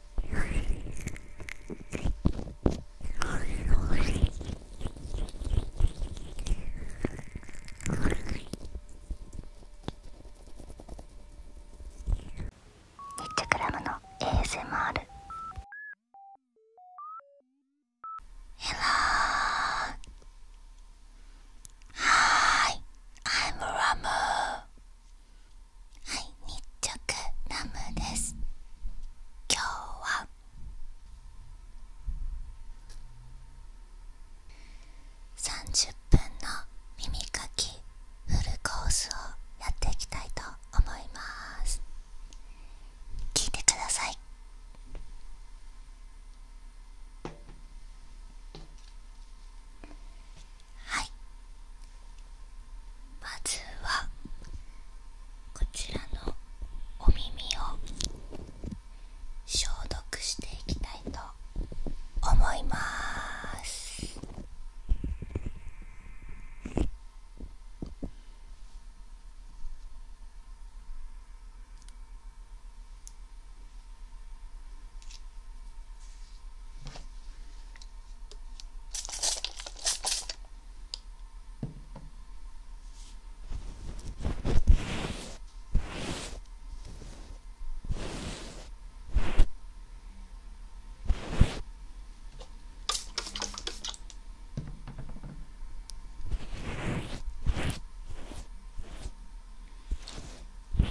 ッチクラムの ASMR ヘロー Hi, I'm Ramu はい日直ラムです今日は30分の耳かきフルコースをやっていきたいと思います聞いてくださいはいまずはこちらのお耳を消毒していきたいと思います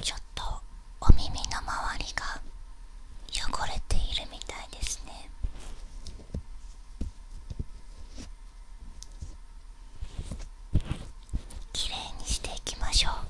ちょっとお耳の周りが汚れているみたいですねきれいにしていきましょう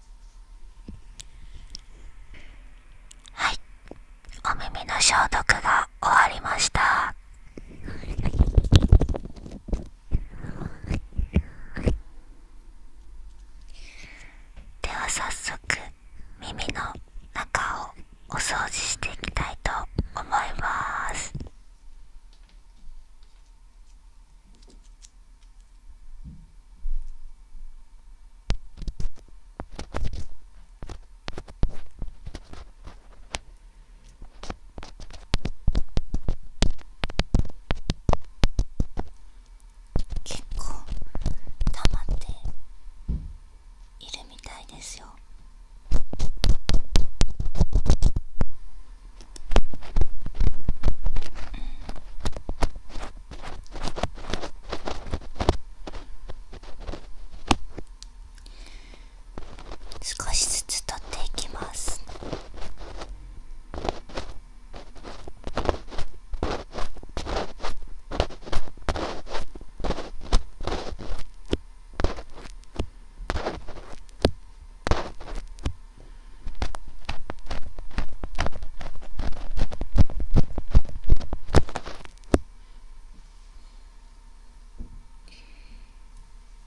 はいお耳の消毒が終わりましたでは早速耳の中をお掃除していきたいと思います結構溜まっているみたいですよ少しずつ取っていきます。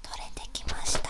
取れてきました。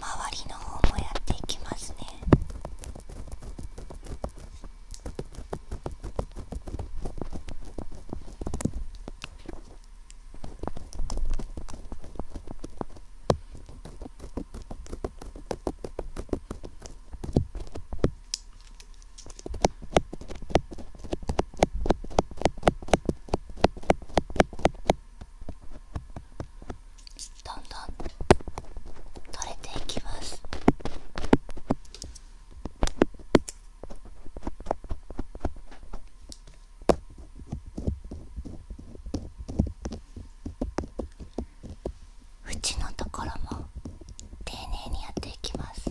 周りの方もやっていきますねどんどん取れていきますうちのところも丁寧にやっていきます。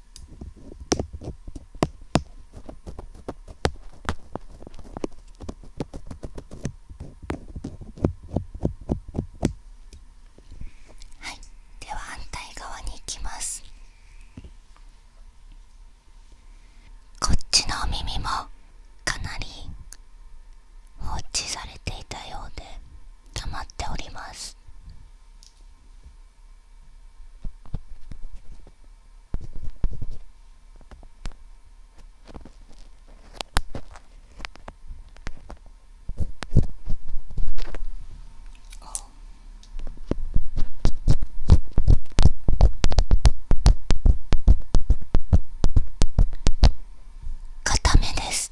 はいでは反対側に行きますこっちのお耳もかなり放置されていたようで溜まっております Oh. 固めです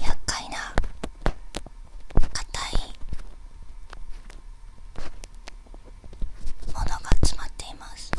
厄介な硬いものが詰まっています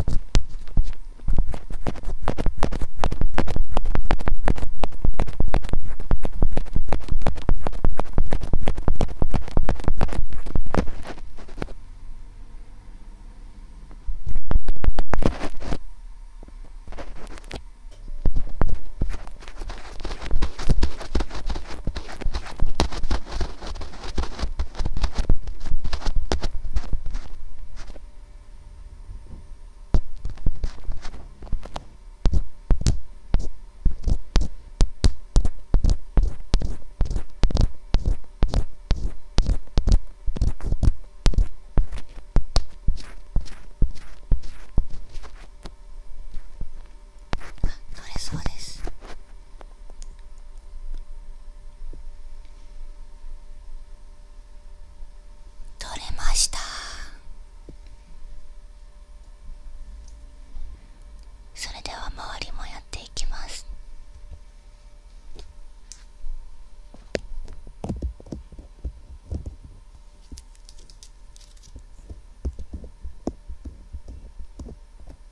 取れそうです。取れましたそれでは周りもやっていきます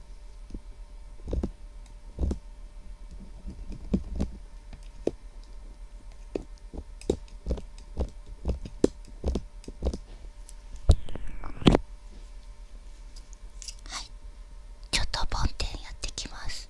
はいちょっと梵天やってきます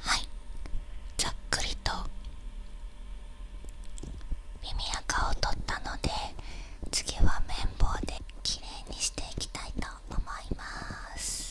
はいざっくりと耳垢を取ったので次は綿棒できれいにしていきたいと思います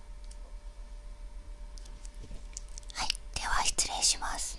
はいでは失礼します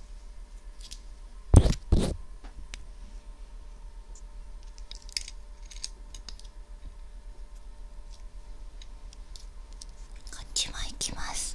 こっちも行きます。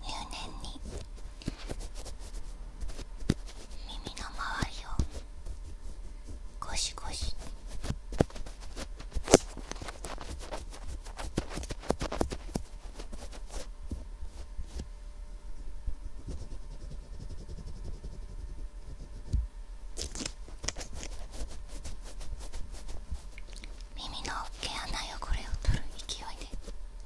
入念に耳の周りをゴシゴシ。耳の毛穴汚れを取る勢いで。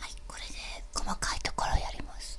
はいこれで細かいところやります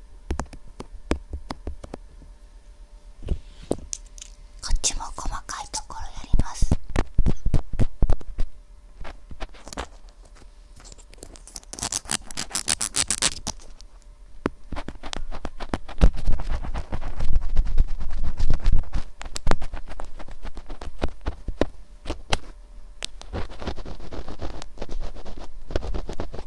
こっちも細かいところやります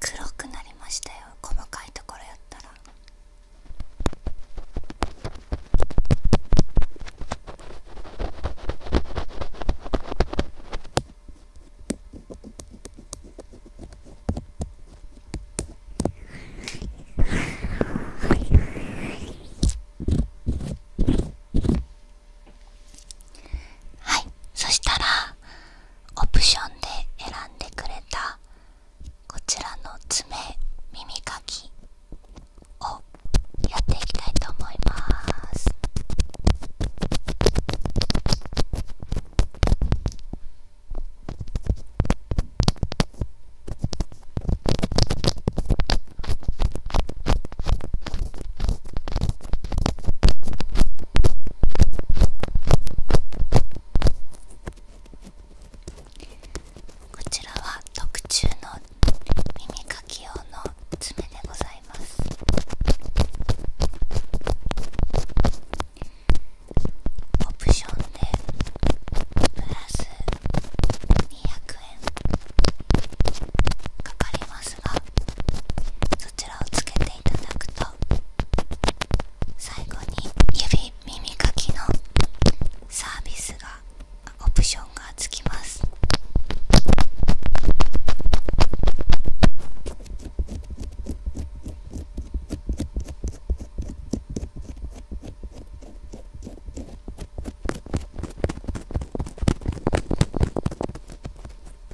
黒くなりましたよ細かいところやったらはいそしたらオプションで選んでくれたこちらの爪耳かきをやっていきたいと思いますこちらは特注の耳かき用の爪でございますオプションでプラス200円かかりますでそちらをつけていただくと最後に指耳かきのサービスがオプションがつきます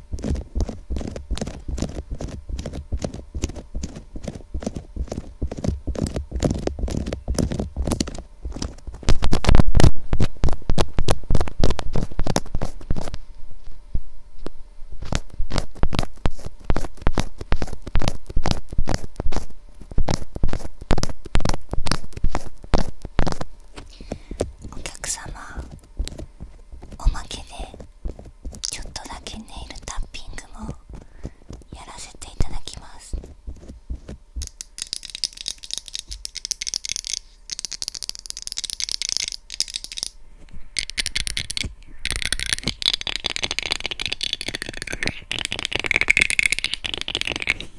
お客様おまけでちょっとだけネイルタッピングもやらせていただきます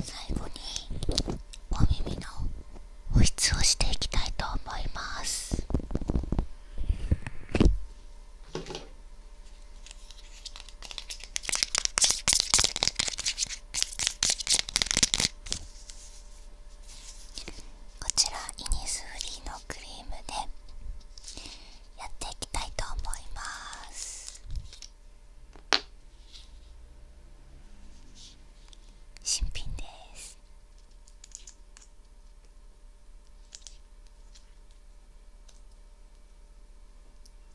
最後にお耳の保湿をしていきたいと思います。こちらイニスフリーのクリームでやっていきたいと思います新品です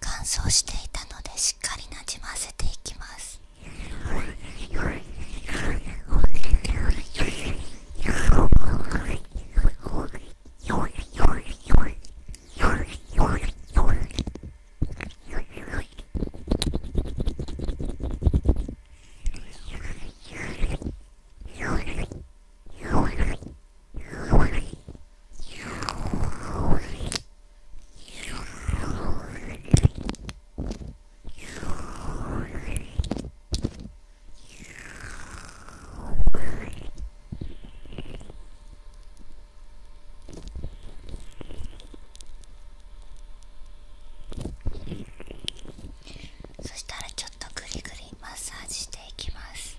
乾燥していたのでしっかりなじませていきますそしたらちょっとぐりぐりマッサージしていきます。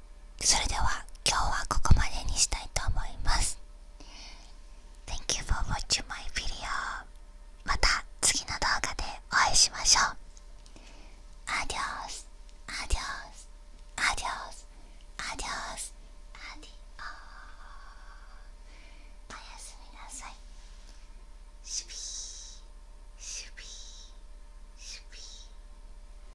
それでは今日はここまでにしたいと思います。Thank you for watching my video. また次の動画でお会いしましょう。アディオス、アディオス、アディオス、アディオス、アディオー。おやすみなさい。シュピー、シピー、シピー。